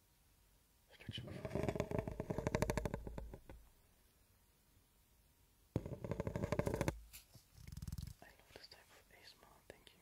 I love this type of ASMR, thank you.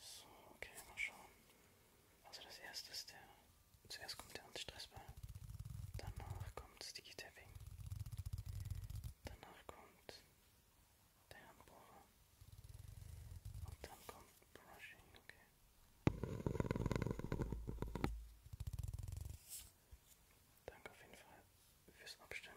So, okay, mal schauen. Also das erste ist der. Zuerst kommt der Antistressball. Danach kommt Sticky Tapping. Danach kommt der Handbohrer. Und dann kommt Brushing, okay. Danke auf jeden Fall fürs Abstimmen.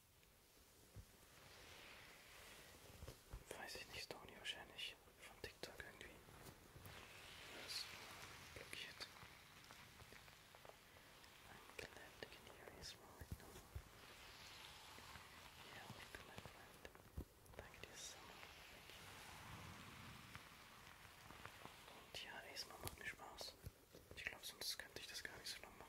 Weiß ich nicht, Tony wahrscheinlich von TikTok irgendwie. Das blockiert. I'm glad I can hear you right now. Yeah, welcome my friend. Danke dir, Summer. Thank you. Und ja, erstmal macht mir Spaß. Ich glaube, sonst könnte ich das gar nicht so lang machen.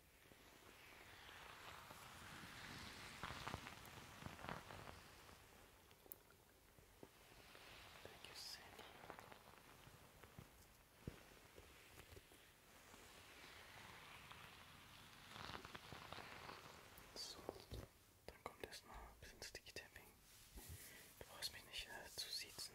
Thank you, Sandy. So, dann kommt erstmal ein bisschen Sticky Tapping. Du brauchst mich nicht äh, zu siezen.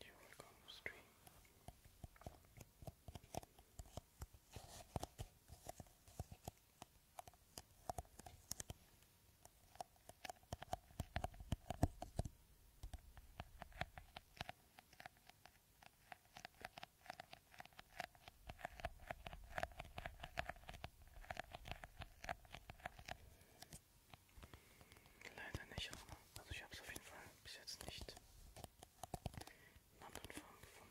You will come to stream. Leider nicht, aber also ich habe es auf jeden Fall bis jetzt nicht in anderen Formen gefunden.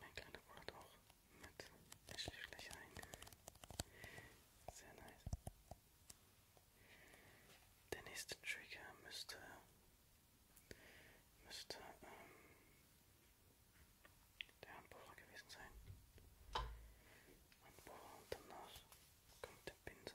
Mein kleiner Bruder hat auch mit der Schläfläche ein. Sehr nice. Der nächste Trigger müsste. müsste. Ähm, der Handbohrer gewesen sein. Handbohrer und danach kommt der Pinsel.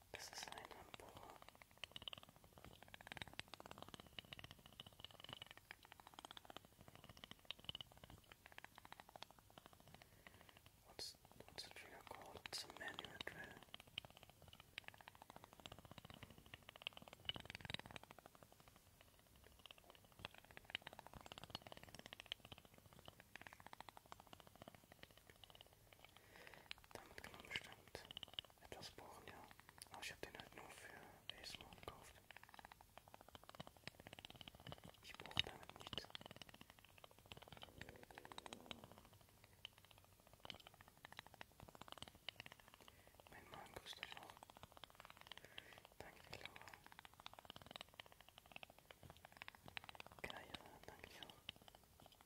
Das ist ein Empor. What's what's the called? It's a manual Damit genommen stimmt. Etwas Bohren, ja. Aber ich habe den halt nur für ASMR gekauft. Ich brauche damit nichts. Mein Mann grüßt euch auch. Danke, Laura. Geil, danke dir auch.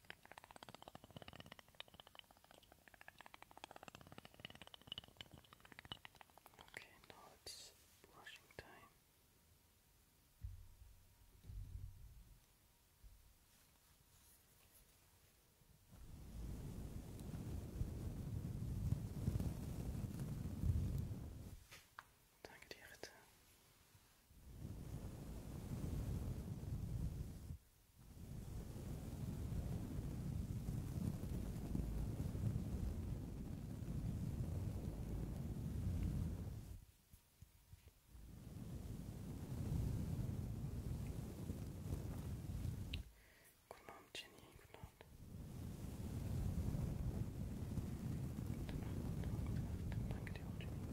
Okay, now it's brushing time. Danke dir, Ritter. Guten Abend, Jenny. Guten Abend. Guten Abend. Guten Abend. Danke dir auch, Jenny.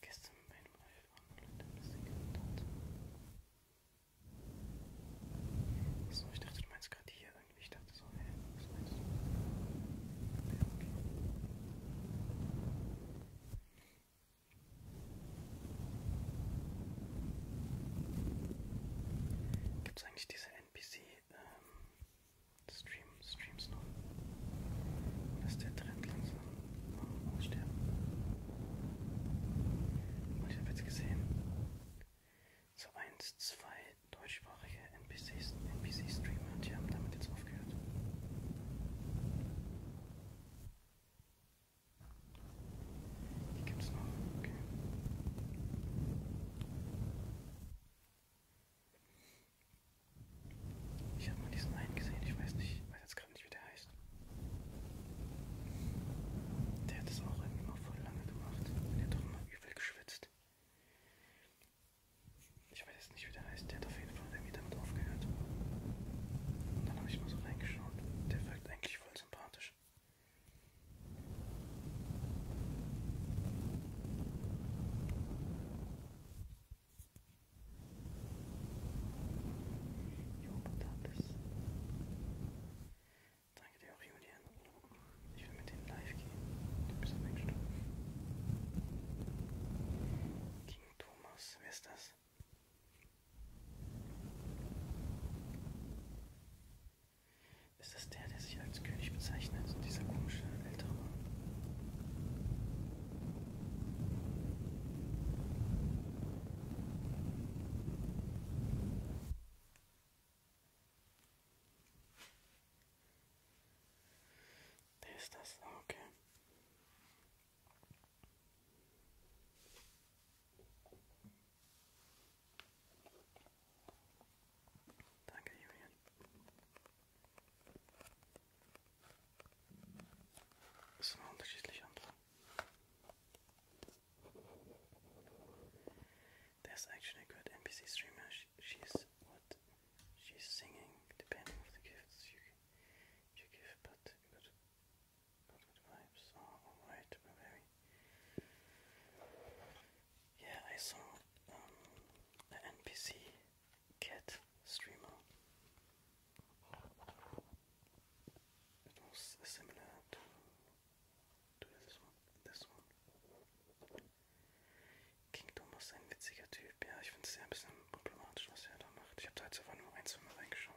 Gestern beim Elfmann und das Ding So, ich dachte, du meinst gerade hier irgendwie. Ich dachte so, hä, hey, was meinst du? Ja, okay. Gibt es eigentlich diese NPC ähm, Stream, Streams noch. Dass der Trend langsam aussterben. Und oh, ich habe jetzt gesehen, so eins, zwei deutschsprachige NPC-Streamer, NPC die haben damit jetzt aufgehört. Die gibt's noch, okay. Ich habe mal diesen einen gesehen, ich weiß nicht, ich weiß jetzt gerade nicht, wie der heißt. Der hat das auch irgendwie mal voll lange gemacht. Der hat doch immer übel geschwitzt. Ich weiß jetzt nicht, wie der heißt. Der hat auf jeden Fall irgendwie damit aufgehört. Und dann habe ich mal so reingeschaut. Der wirkt eigentlich voll sympathisch. Ich hoffe, das ist. Danke dir auch, Julian. Ich will mit denen live gehen. Du bist ein Mensch. King Thomas, wer ist das? Ist das der, der sich als König bezeichnet? Dieser komische ältere Mann? Der ist das, oh, okay. Thank you, actually good NPC streamer. she's what she's singing, depending on the gifts you you give, but good, good, good vibes are oh, alright. we very Yeah, I saw um, an NPC cat streamer. It was similar to, to this one. This one. King Thomas, ein witziger Typ. Ja, ich finde es sehr ein bisschen problematisch, was er da macht. Ich habe da jetzt aber nur ein, zwei Mal reingeschaut.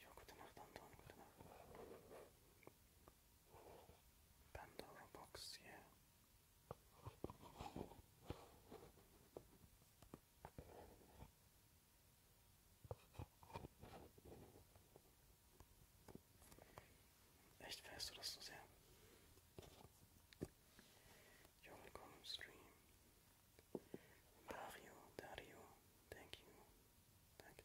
Ja, gute Nacht, Anton, gute Nacht. Pandora Box, yeah. Echt fährst du das so sehr? Jungle, komm, Stream. Mario, Dario, thank you. Thank you.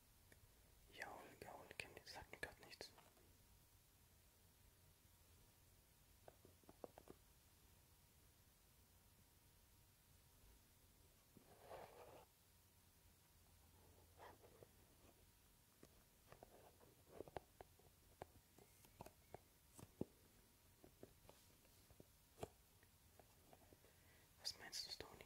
Jaul, Gaul, Chemnitz sagt mir gerade nichts. Was meinst du, Stony?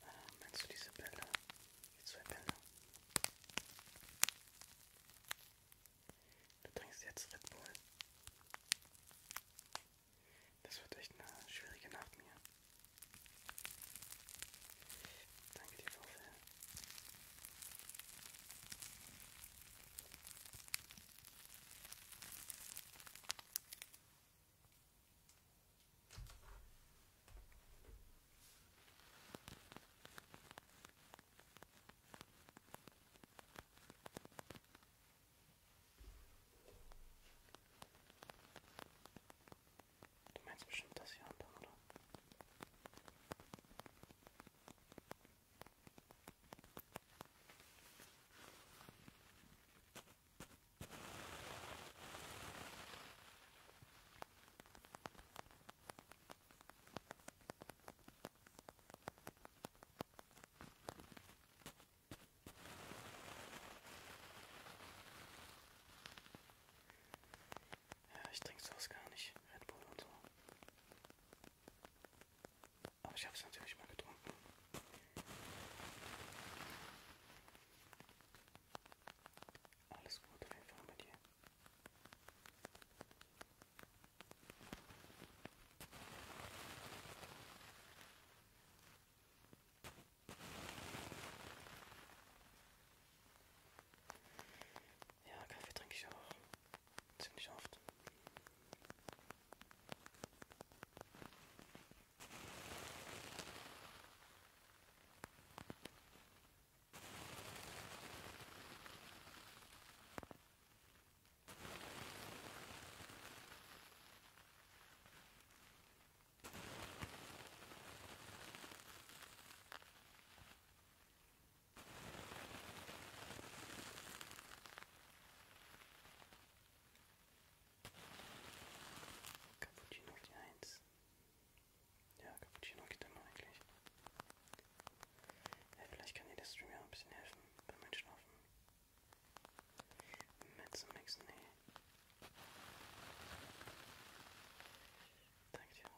Ah, meinst du diese Bilder? Die zwei Bilder? Du trinkst jetzt Red Bull. Das wird echt eine schwierige Nacht mir. Danke dir, Frau Fell. Du meinst bestimmt das hier unten, oder? Ja, ich trinke sowas gar nicht, Red Bull und so. Aber ich habe es natürlich mal getrunken. Alles gut, auf jeden Fall bei dir. Ja, Kaffee trinke ich auch ziemlich oft. Cappuccino die Eins. Ja, Cappuccino geht immer eigentlich. Ja, vielleicht kann dir der Stream ja ein bisschen helfen beim Einschlafen. Metzenmixen, Thank you.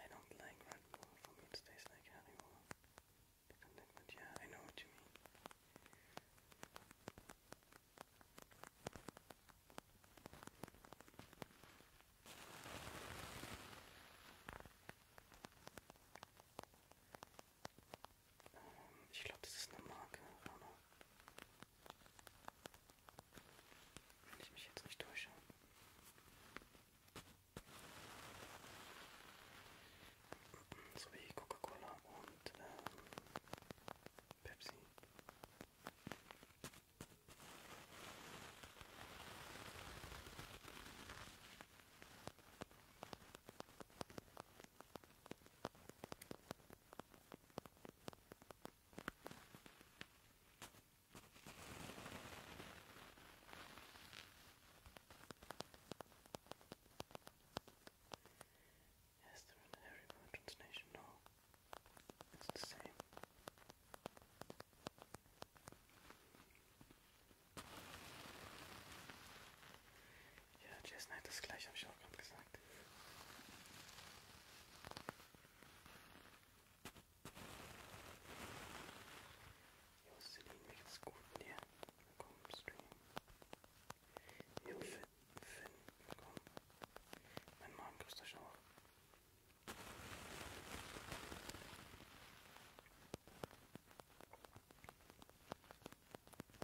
I don't like Red Bull. For me, it tastes like Haribo. But yeah, I know what you mean. Ich glaube, das ist eine Marke, Rano. Wenn ich mich jetzt nicht täusche. So wie Coca-Cola und ähm, Pepsi. Yes, they're in every merchant's It's the same. Ja, Jess nein, das gleiche habe ich auch gerade gesagt. Jocelyn, mir geht's gut mit dir. Willkommen im Stream. Jo, Finn, Finn, willkommen. Mein Mann grüßt euch auch.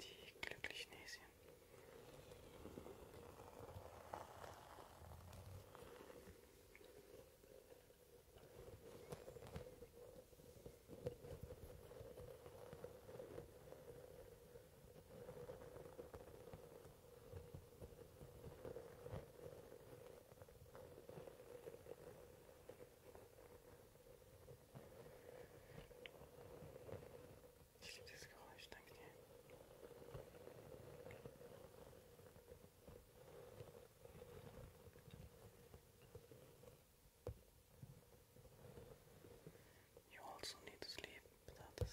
Die glücklichen Häschen. thank you. also need to sleep, Pilates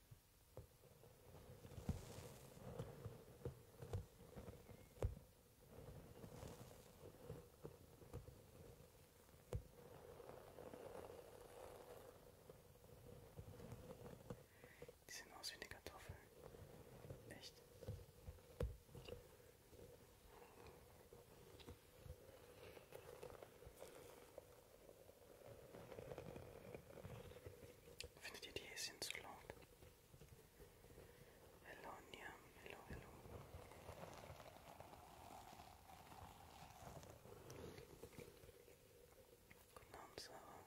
Die sehen aus wie eine Kartoffel. Echt. Findet ihr die Häschen zu laut? Hello, Niam, hello, hello. Guten Abend, Sarah.